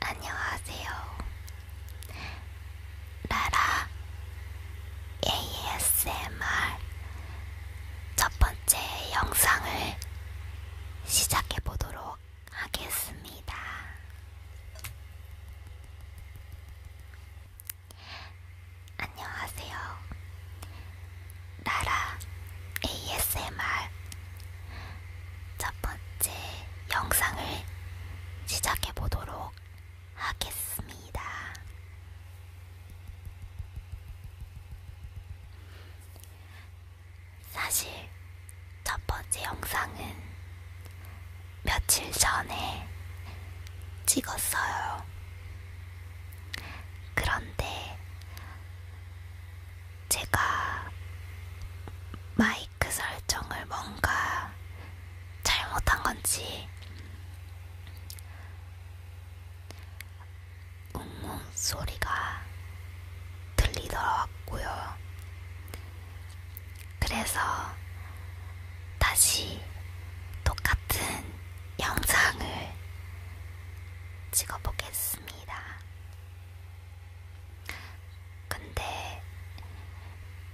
안녕하세요. 라라 ASMR 첫 번째 영상을 시작해 보도록 하겠습니다. 안녕하세요. 나라 ASMR 첫 번째 영상을 시작해 보도록 하겠습니다. 사실 첫 번째 영상은 며칠 전에 찍었어요. 그런데 제가 마이크 설정을 뭔가 잘못한 건지 웅웅 소리가 들리더라고요. 그래서 다시 똑같은 영상을 찍어보겠습니다. 근데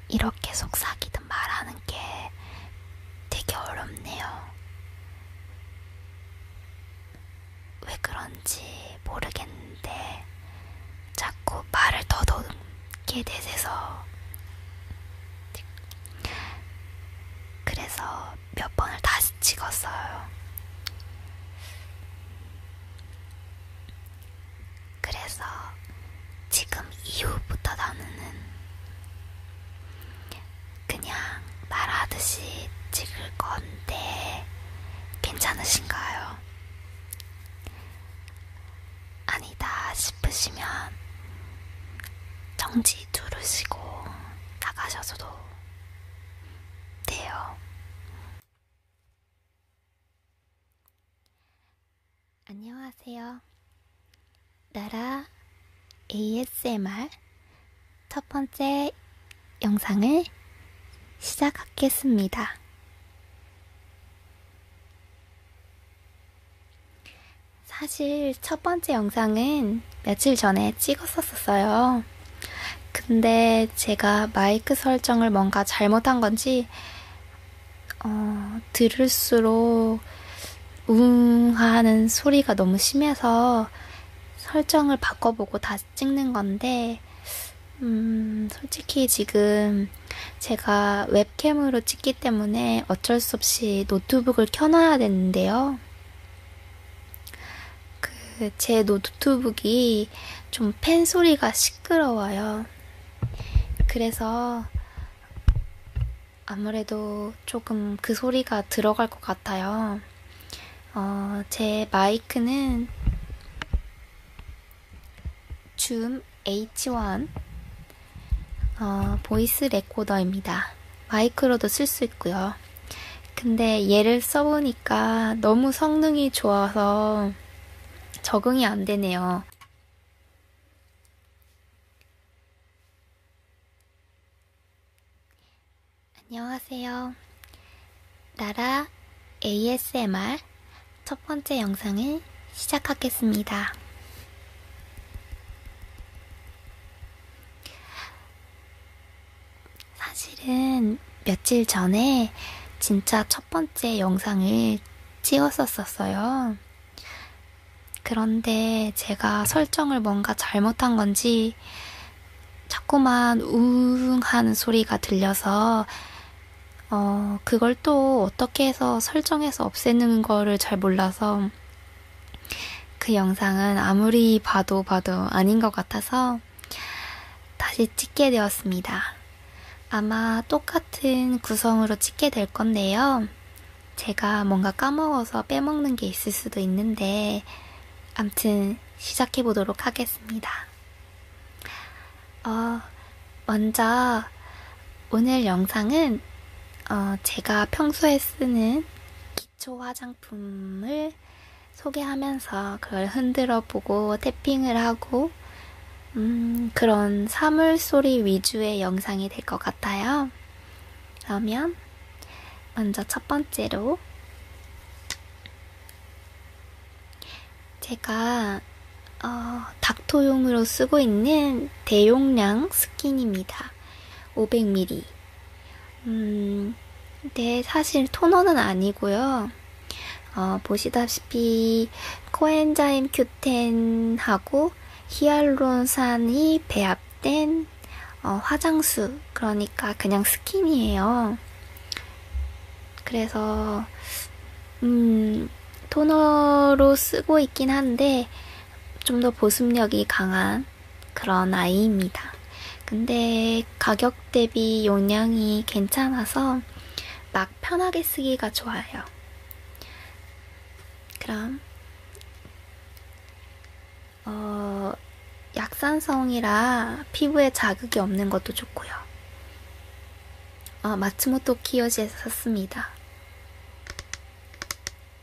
이렇게 속삭이든 말하는 게 되게 어렵네요. 왜 그런지 모르겠는데 자꾸 말을 더듬게 되돼서 그래서 몇 번을 다시 찍었어요. 그래서 지금 이후부터 나는 그냥 말하듯이 찍을 건데 괜찮으신가요? 아니다 싶으시면 정지 다시 들으시고 나가셔도 돼요. 안녕하세요. 나라 ASMR 첫 번째 영상을 시작하겠습니다. 사실 첫 번째 영상은 며칠 전에 찍었었어요. 근데 제가 마이크 설정을 뭔가 잘못한 건지, 어, 들을수록 웅 하는 소리가 너무 심해서 설정을 바꿔보고 다시 찍는 건데, 음, 솔직히 지금 제가 웹캠으로 찍기 때문에 어쩔 수 없이 노트북을 켜놔야 되는데요. 있는데요. 그제 노트북이 좀 펜 소리가 시끄러워요. 그래서 아무래도 조금 그 소리가 들어갈 것 같아요. 어, 제 마이크는 줌 H1 어, 보이스 레코더입니다. 마이크로도 쓸 수 있고요. 근데 얘를 써보니까 너무 성능이 좋아서 적응이 안 되네요. 안녕하세요. 나라 ASMR 첫 번째 영상을 시작하겠습니다. 사실은 며칠 전에 진짜 첫 번째 영상을 찍었었어요. 그런데 제가 설정을 뭔가 잘못한 건지 자꾸만 우웅 하는 소리가 들려서 어, 그걸 또 어떻게 해서 설정해서 없애는 거를 잘 몰라서 그 영상은 아무리 봐도 봐도 아닌 것 같아서 다시 찍게 되었습니다. 아마 똑같은 구성으로 찍게 될 건데요. 제가 뭔가 까먹어서 빼먹는 게 있을 수도 있는데, 암튼 시작해 보도록 하겠습니다. 어, 먼저 오늘 영상은 어, 제가 평소에 쓰는 기초 화장품을 소개하면서 그걸 흔들어 보고 탭핑을 하고 음, 그런 사물소리 위주의 영상이 될 것 같아요. 그러면 먼저 첫 번째로 제가 어, 닥토용으로 쓰고 있는 대용량 스킨입니다. 500ml. 음, 근데 사실 토너는 아니고요. 어, 보시다시피 코엔자임 Q10하고 히알루론산이 배합된 어, 화장수 그러니까 그냥 스킨이에요. 그래서 음, 토너로 쓰고 있긴 한데 좀더 보습력이 강한 그런 아이입니다. 근데 가격 대비 용량이 괜찮아서 막 편하게 쓰기가 좋아요. 그럼 어, 약산성이라 피부에 자극이 없는 것도 좋고요. 어, 마츠모토 키요시에서 샀습니다.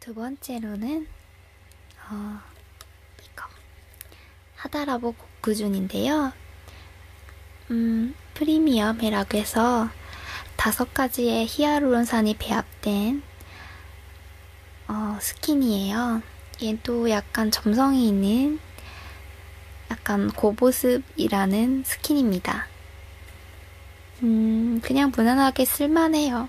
두 번째로는 어, 이거 하다라보 고크준인데요. 음, 프리미엄이라고 해서 다섯 가지의 히아루론산이 배합된 어, 스킨이에요. 얘도 약간 점성이 있는 약간 고보습이라는 스킨입니다. 음, 그냥 무난하게 쓸만해요.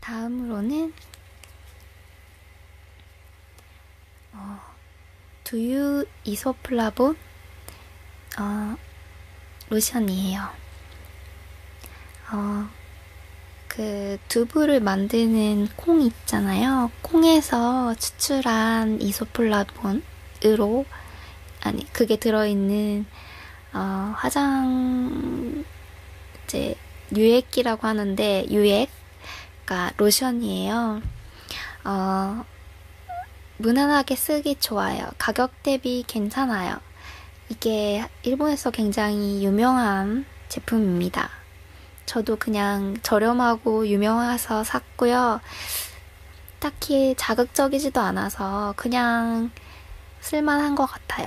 다음으로는 어, 두유 이소플라본 어, 로션이에요. 어, 그 두부를 만드는 콩 있잖아요. 콩에서 추출한 이소플라본으로 아니 그게 들어있는 어, 화장 이제 유액이라고 하는데 유액 그러니까 로션이에요. 어, 무난하게 쓰기 좋아요. 가격 가격 대비 괜찮아요. 이게 일본에서 굉장히 유명한 제품입니다. 저도 그냥 저렴하고 유명해서 샀고요. 딱히 자극적이지도 않아서 그냥 쓸만한 것 같아요.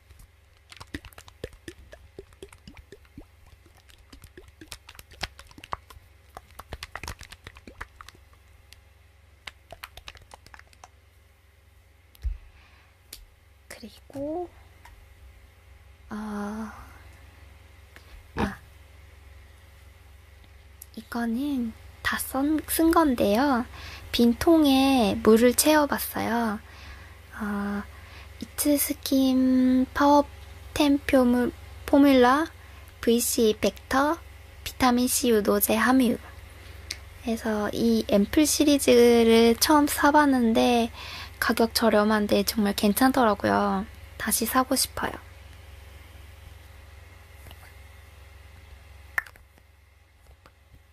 그리고 아, 네. 아 이거는 다 쓴 건데요. 빈 통에 물을 채워봤어요. 아, 이츠스킨 파워 템표 포뮬라 VC 벡터 비타민C 유도제 함유 그래서 이 앰플 시리즈를 처음 사봤는데 가격 저렴한데 정말 괜찮더라고요. 다시 사고 싶어요.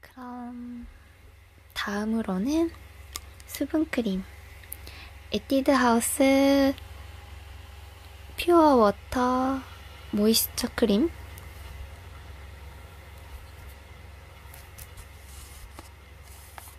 그럼 다음으로는 수분크림 에뛰드 하우스 퓨어 워터 모이스처 크림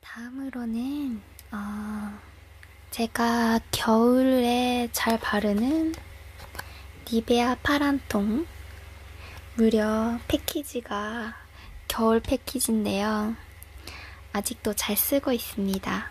다음으로는 어, 제가 겨울에 잘 바르는 니베아 파란통 무려 패키지가 겨울 패키지인데요. 아직도 잘 쓰고 있습니다.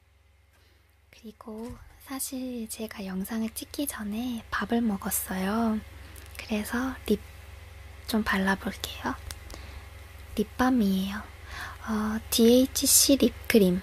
그리고 사실 제가 영상을 찍기 전에 밥을 먹었어요. 그래서 립 좀 발라볼게요. 립밤이에요. 어, DHC 립크림.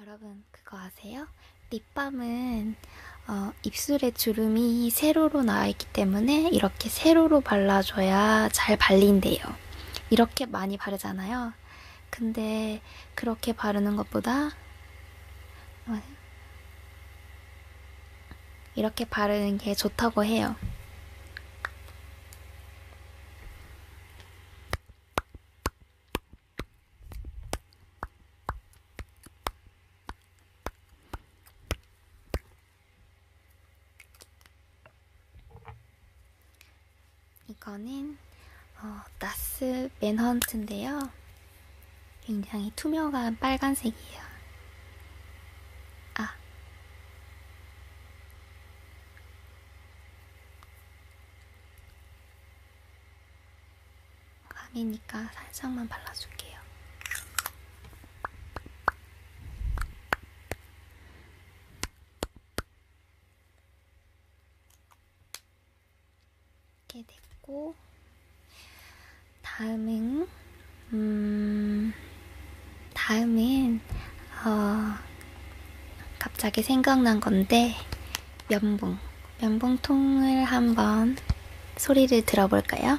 여러분 그거 아세요? 립밤은 어, 입술에 주름이 세로로 나와 있기 때문에 이렇게 세로로 발라줘야 잘 발린대요. 이렇게 많이 바르잖아요. 근데 그렇게 바르는 것보다 이렇게 바르는 게 좋다고 해요. 이거는 어, 나스 맨헌트인데요. 굉장히 투명한 빨간색이에요. 아. 밤이니까 살짝만 발라줄게요. 이렇게 됐고 다음은 음 다음은 어 갑자기 생각난 건데 면봉 면봉통을 한번 소리를 들어볼까요?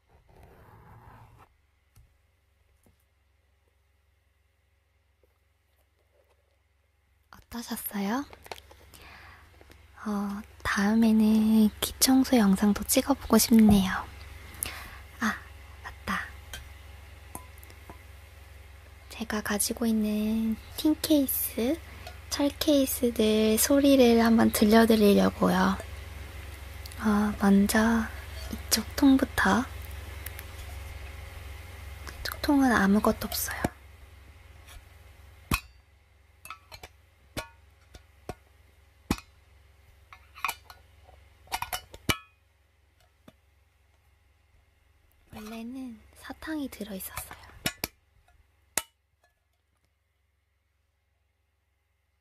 어떠셨어요? 어, 다음에는 귀청소 영상도 찍어보고 싶네요. 아, 맞다. 제가 가지고 있는 틴 케이스, 철 케이스들 소리를 한번 들려드리려고요. 아, 먼저 이쪽 통부터. 이쪽 통은 아무것도 없어요. 원래는 사탕이 들어있었어요.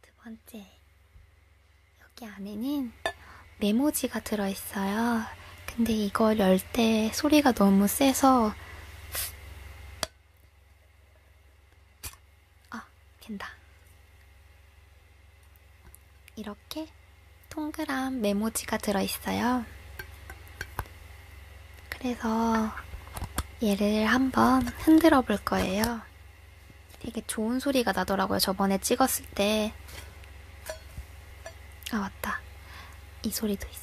두 번째, 여기 안에는 메모지가 들어있어요. 근데 이걸 열 때 소리가 너무 세서 아, 캔다. 이렇게 동그란 메모지가 들어있어요. 그래서 얘를 한번 흔들어 볼 거예요. 되게 좋은 소리가 나더라고요. 저번에 찍었을 때. 아, 맞다. 이 소리도 있어.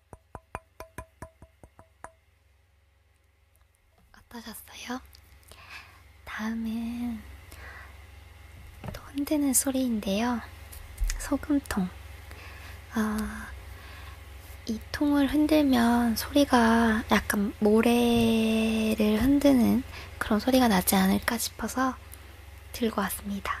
어떠셨어요? 다음은 또 흔드는 소리인데요. 소금통. 아, 이 통을 흔들면 소리가 약간 모래를 흔드는 그런 소리가 나지 않을까 싶어서 들고 왔습니다.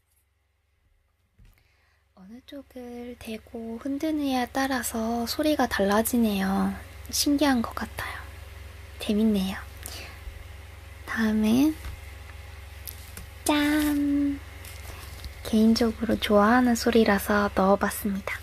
어느 쪽을 대고 흔드느냐에 따라서 소리가 달라지네요. 신기한 것 같아요. 재밌네요. 다음은 짠! 개인적으로 좋아하는 소리라서 넣어봤습니다.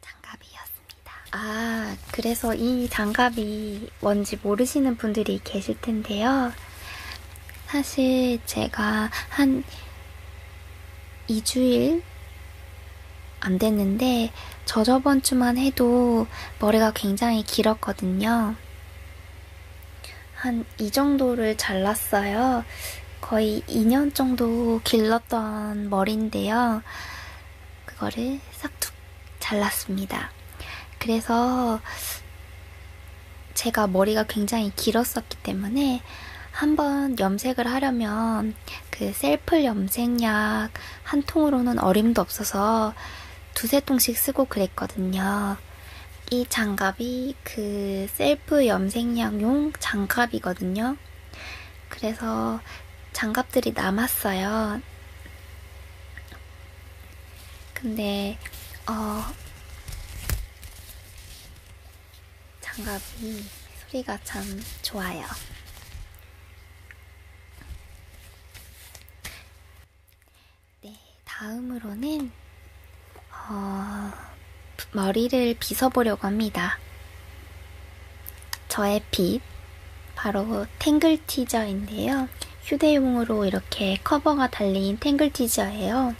장갑이었습니다. 아, 그래서 이 장갑이 뭔지 모르시는 분들이 계실 텐데요. 사실 제가 한 2주일 안 됐는데 저 저번 주만 해도 머리가 굉장히 길었거든요. 한 이 정도를 잘랐어요. 거의 2년 정도 길렀던 머리인데요. 그거를 싹둑 잘랐습니다. 그래서 제가 머리가 굉장히 길었었기 때문에 한 번 염색을 하려면 그 셀프 염색약 한 통으로는 어림도 없어서 두세 통씩 쓰고 그랬거든요. 이 장갑이 그 셀프 염색약용 장갑이거든요. 그래서 장갑들이 남았어요. 근데, 어, 장갑이 소리가 참 좋아요. 네, 다음으로는 어, 머리를 빗어보려고 합니다. 저의 빗, 바로 탱글 티저인데요. 휴대용으로 이렇게 커버가 달린 탱글 티저예요.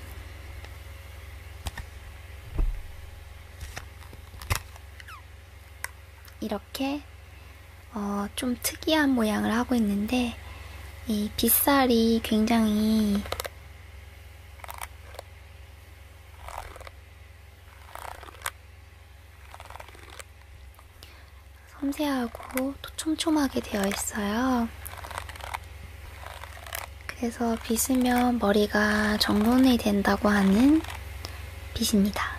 이렇게 이렇게 어, 좀 특이한 모양을 하고 있는데 이 빗살이 굉장히 섬세하고 또 촘촘하게 되어 있어요. 그래서 빗으면 머리가 정돈이 된다고 하는 빗입니다.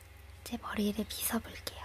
제 머리를 빗어볼게요.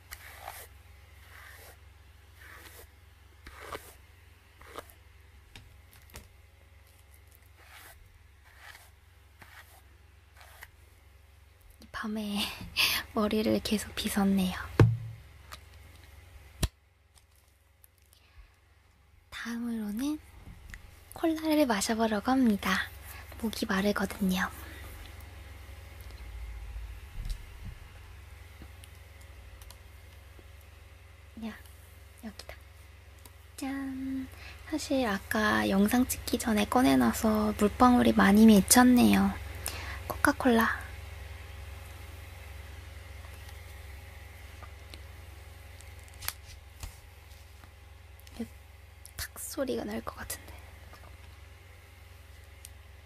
밤에 머리를 계속 빗었네요. 다음으로는 콜라를 마셔보려고 합니다. 목이 마르거든요. 야, 여기다. 짠! 사실 아까 영상 찍기 전에 꺼내놔서 물방울이 많이 맺혔네요. 코카콜라. 탁 소리가 날 것 같은데.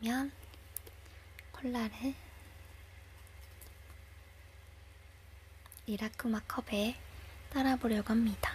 그러면 콜라를 리라크마 컵에 따라 보려고 합니다.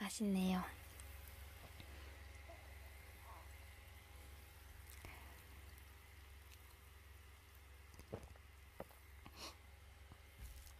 맛있네요.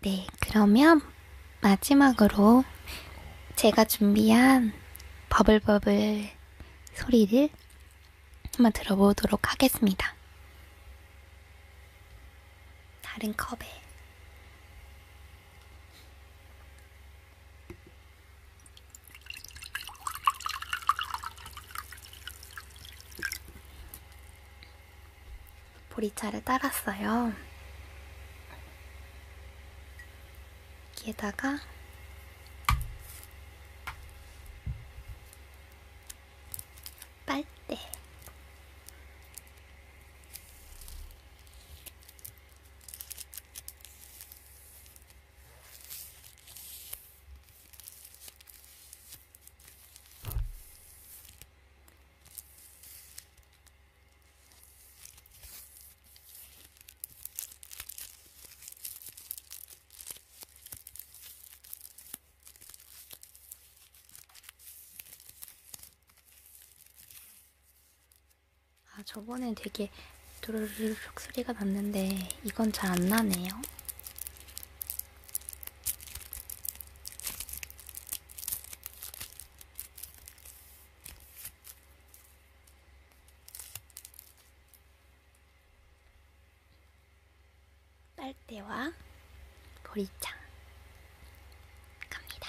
네, 그러면 마지막으로 제가 준비한 버블버블 소리를 한번 들어보도록 하겠습니다. 다른 컵에. 보리차를 따랐어요. 여기에다가 빨대 아, 저번엔 되게 도르륵 소리가 났는데 이건 잘 안 나네요. 빨대와 보리창 갑니다.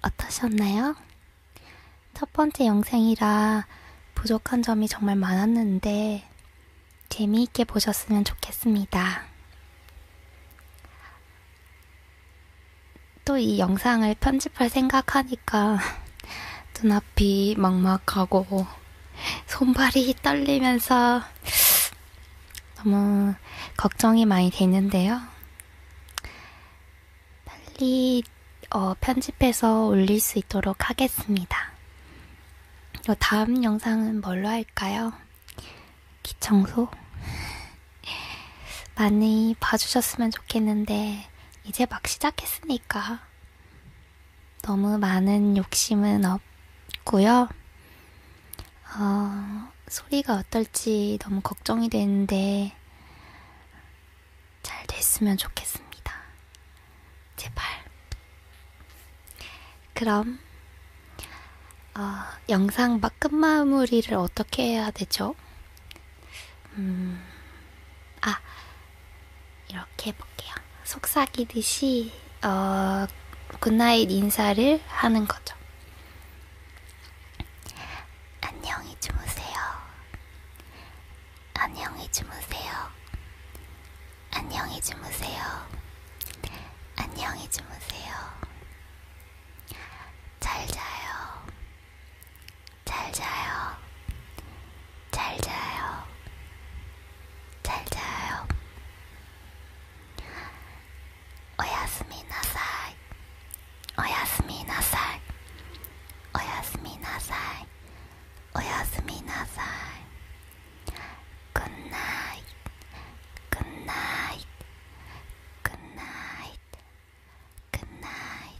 어떠셨나요? 첫 번째 영상이라 부족한 점이 정말 많았는데 재미있게 보셨으면 좋겠습니다. 또 이 영상을 편집할 생각하니까 눈앞이 막막하고 손발이 떨리면서 너무 걱정이 많이 되는데요. 빨리 어, 편집해서 올릴 수 있도록 하겠습니다. 다음 영상은 뭘로 할까요? 기청소? 많이 봐주셨으면 좋겠는데, 이제 막 시작했으니까. 너무 많은 욕심은 없고요. 어, 소리가 어떨지 너무 걱정이 되는데 잘 됐으면 좋겠습니다. 제발. 그럼 어, 영상 막 끝마무리를 어떻게 해야 되죠? 음, 아 이렇게 해볼게요. 속삭이듯이 어, 굿나잇 인사를 하는 거죠. 안녕히 주무세요. 안녕히 주무세요. 안녕히 주무세요. 안녕히 주무세요. 잘 자요. 잘 자요. 잘 자요. 잘 자요. おやすみなさいおやすみなさいおやすみなさいおやすみなさい Good night Good night Good night Good night